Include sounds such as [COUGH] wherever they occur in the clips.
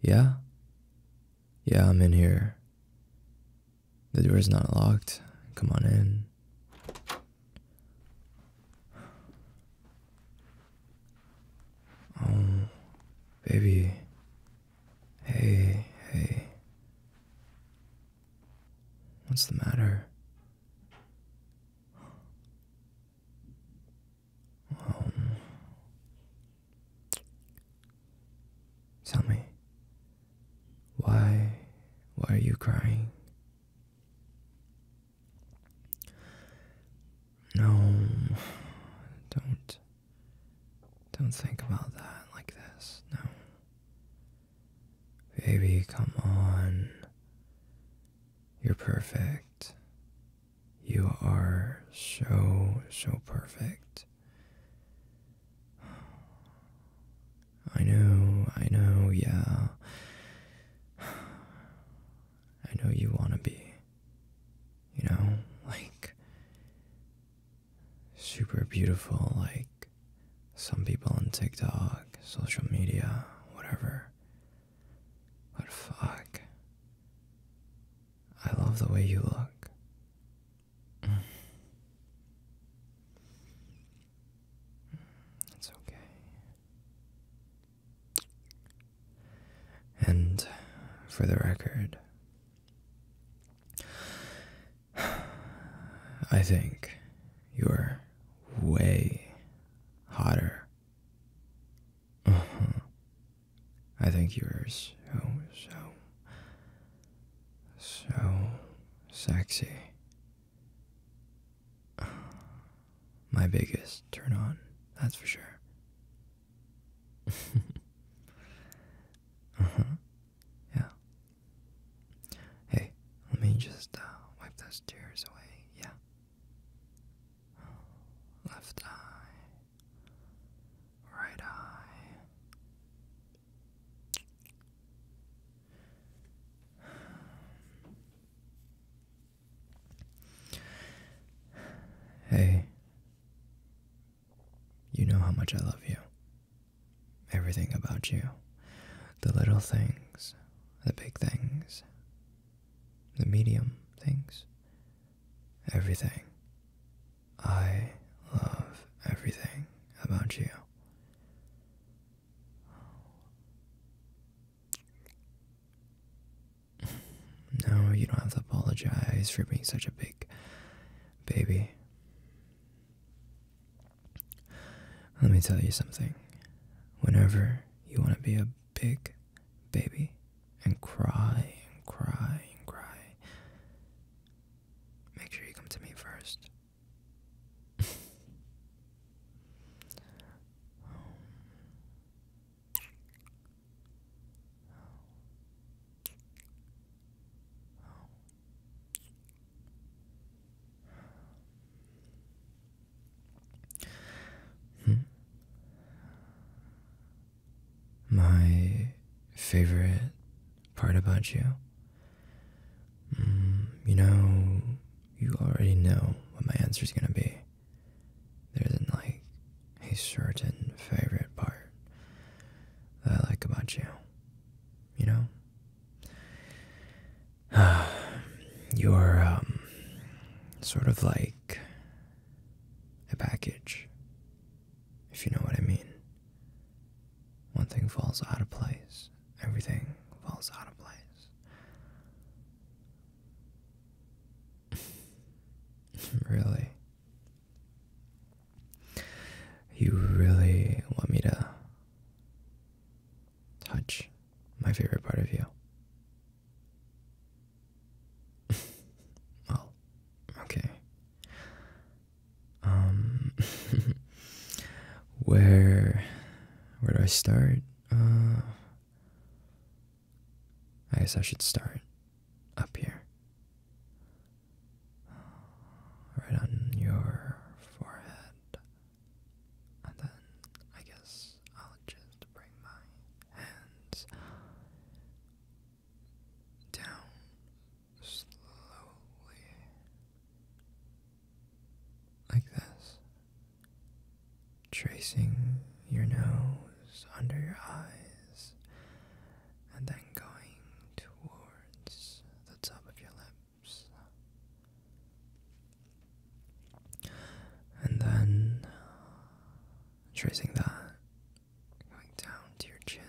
Yeah? Yeah, I'm in here. The door's not locked. Come on in. Oh, baby. Hey, hey. What's the matter? Um, tell me, why, why are you crying? No, don't, don't think about that like this, no. Baby, come on. You're perfect. You are so, so perfect. I know, I know, yeah. I know you want to be. You know, [LAUGHS] like super beautiful, like some people on TikTok, social media, whatever. But fuck. I love the way you look. [SIGHS] It's okay. And for the record, [SIGHS] I think you're way hotter. Uh-huh. I think you are so, so, so sexy. [SIGHS] My biggest turn on, that's for sure. [LAUGHS] uh huh. Yeah. Hey, let me just uh, wipe those tears away, yeah? Left eye, right eye. Hey, you know how much I love you. Everything about you the little things, the big things, the medium things, everything. I love everything about you. [LAUGHS] No, you don't have to apologize for being such a big baby. Let me tell you something. Whenever you want to be a big baby and cry and cry and cry, make sure you come to me first. Hmm. My favorite part about you. Hmm, you know, you already know what my answer is going to be. There like a certain favorite part that I like about you you know? [SIGHS] You're, um, sort of like a package, if you know what I mean. One thing falls out of place, everything falls out of place. [LAUGHS] really? You really want me to touch my favorite part of you? [LAUGHS] well, okay. Um, [LAUGHS] where, where do I start? Uh, I guess I should start up here right on your forehead. And then I guess I'll just bring my hands down slowly like this, tracing your nose under your eyes and then going towards the top of your lips. And then tracing that, going down to your chin.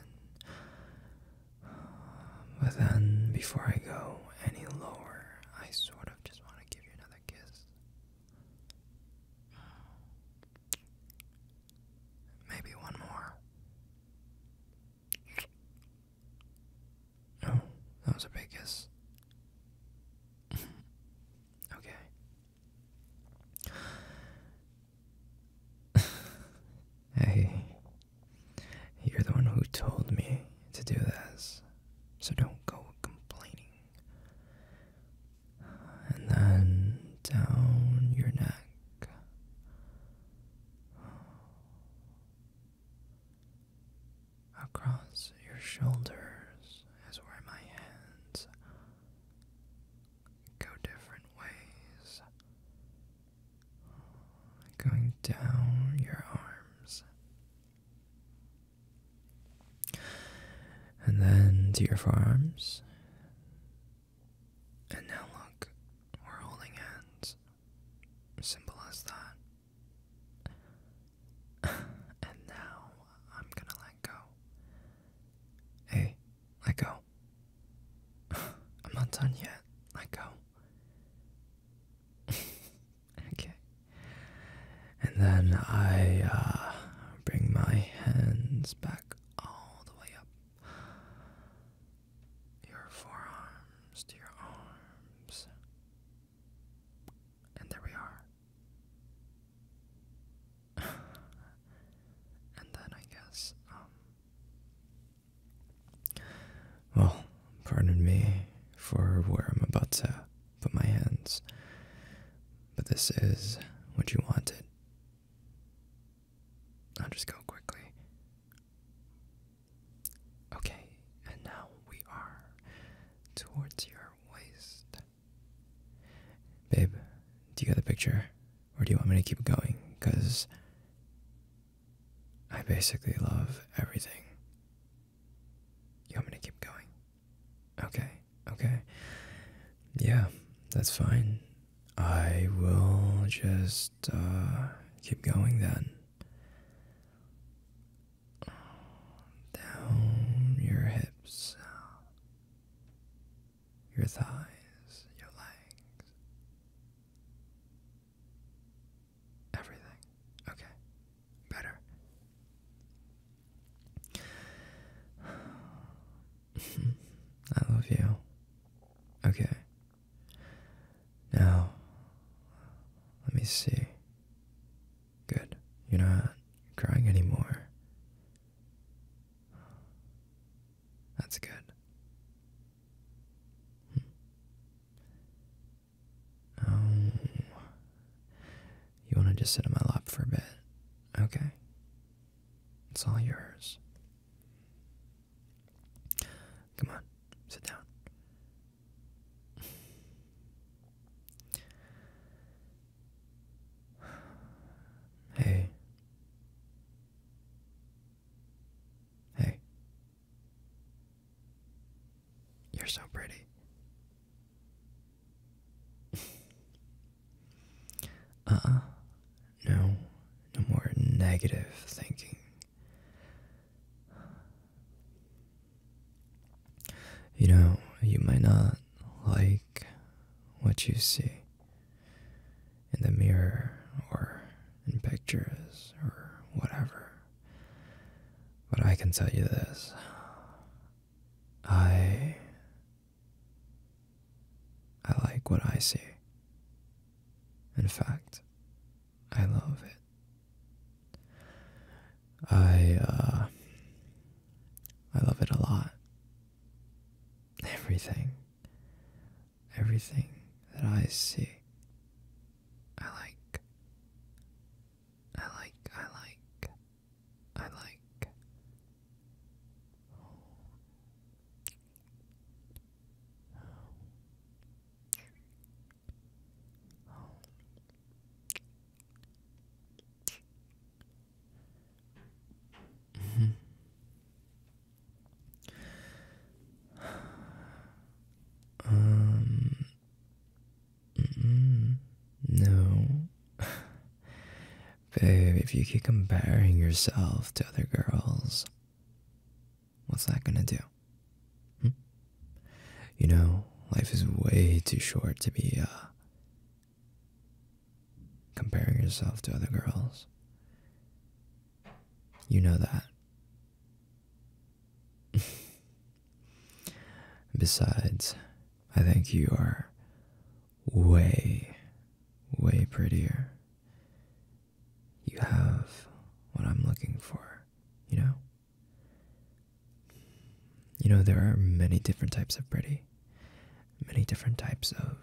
But then, before I go any lower, I sort of just want to give you another kiss. Maybe one more. No, that was a big kiss. [LAUGHS] okay. [LAUGHS] hey, you're the one who told me to do this, so don't go complaining. And then down your neck. Across your shoulders is where my hands go different ways, going down your arms and then to your forearms and now look, we're holding hands. Simple as that. [LAUGHS] and now I'm gonna let go. Hey, let go. [LAUGHS] I'm not done yet. Let go. [LAUGHS] okay. And then I uh, bring my hands back all the way up your forearms to your arms. And there we are. [LAUGHS] and then I guess, um, Well, pardon me for where I'm about to put my hands, but this is what you wanted, I'll just go quickly. Okay, and now we are towards your waist. Babe, do you get the picture? Or do you want me to keep going? Because I basically love everything. You want me to keep going? Okay. Okay. Yeah, that's fine. I will just uh, keep going then. Down your hips, your thighs, your legs. Everything. Okay. Better. [SIGHS] I love you. Okay. Now, let me see. Good. You're not crying anymore. That's good. Hmm. Um, you want to just sit on my lap for a bit? Okay. It's all yours. Come on, sit down. Hey. Hey. You're so pretty. [LAUGHS] uh No. No more negative thinking. You know, you might not like what you see in the mirror or in pictures or whatever, but I can tell you this I I like what I see. In fact, I love it. I uh I love it a lot. Everything. Everything that I see. I like. I like. I like. I like. -hmm. [LAUGHS] um no. [LAUGHS] Babe, if you keep comparing yourself to other girls, what's that gonna do? Hmm? You know, life is way too short to be, uh, comparing yourself to other girls. You know that. Besides, I think you are way, way prettier. You have what I'm looking for, you know? You know, there are many different types of pretty, many different types of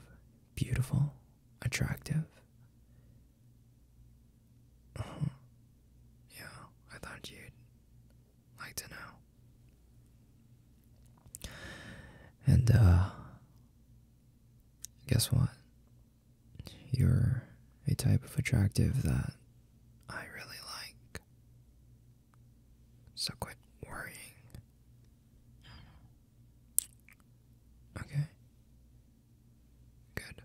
beautiful, attractive. Uh-huh. yeah, I thought you'd like to know. And uh, guess what? You're a type of attractive that I really like. So quit worrying. Okay. Good.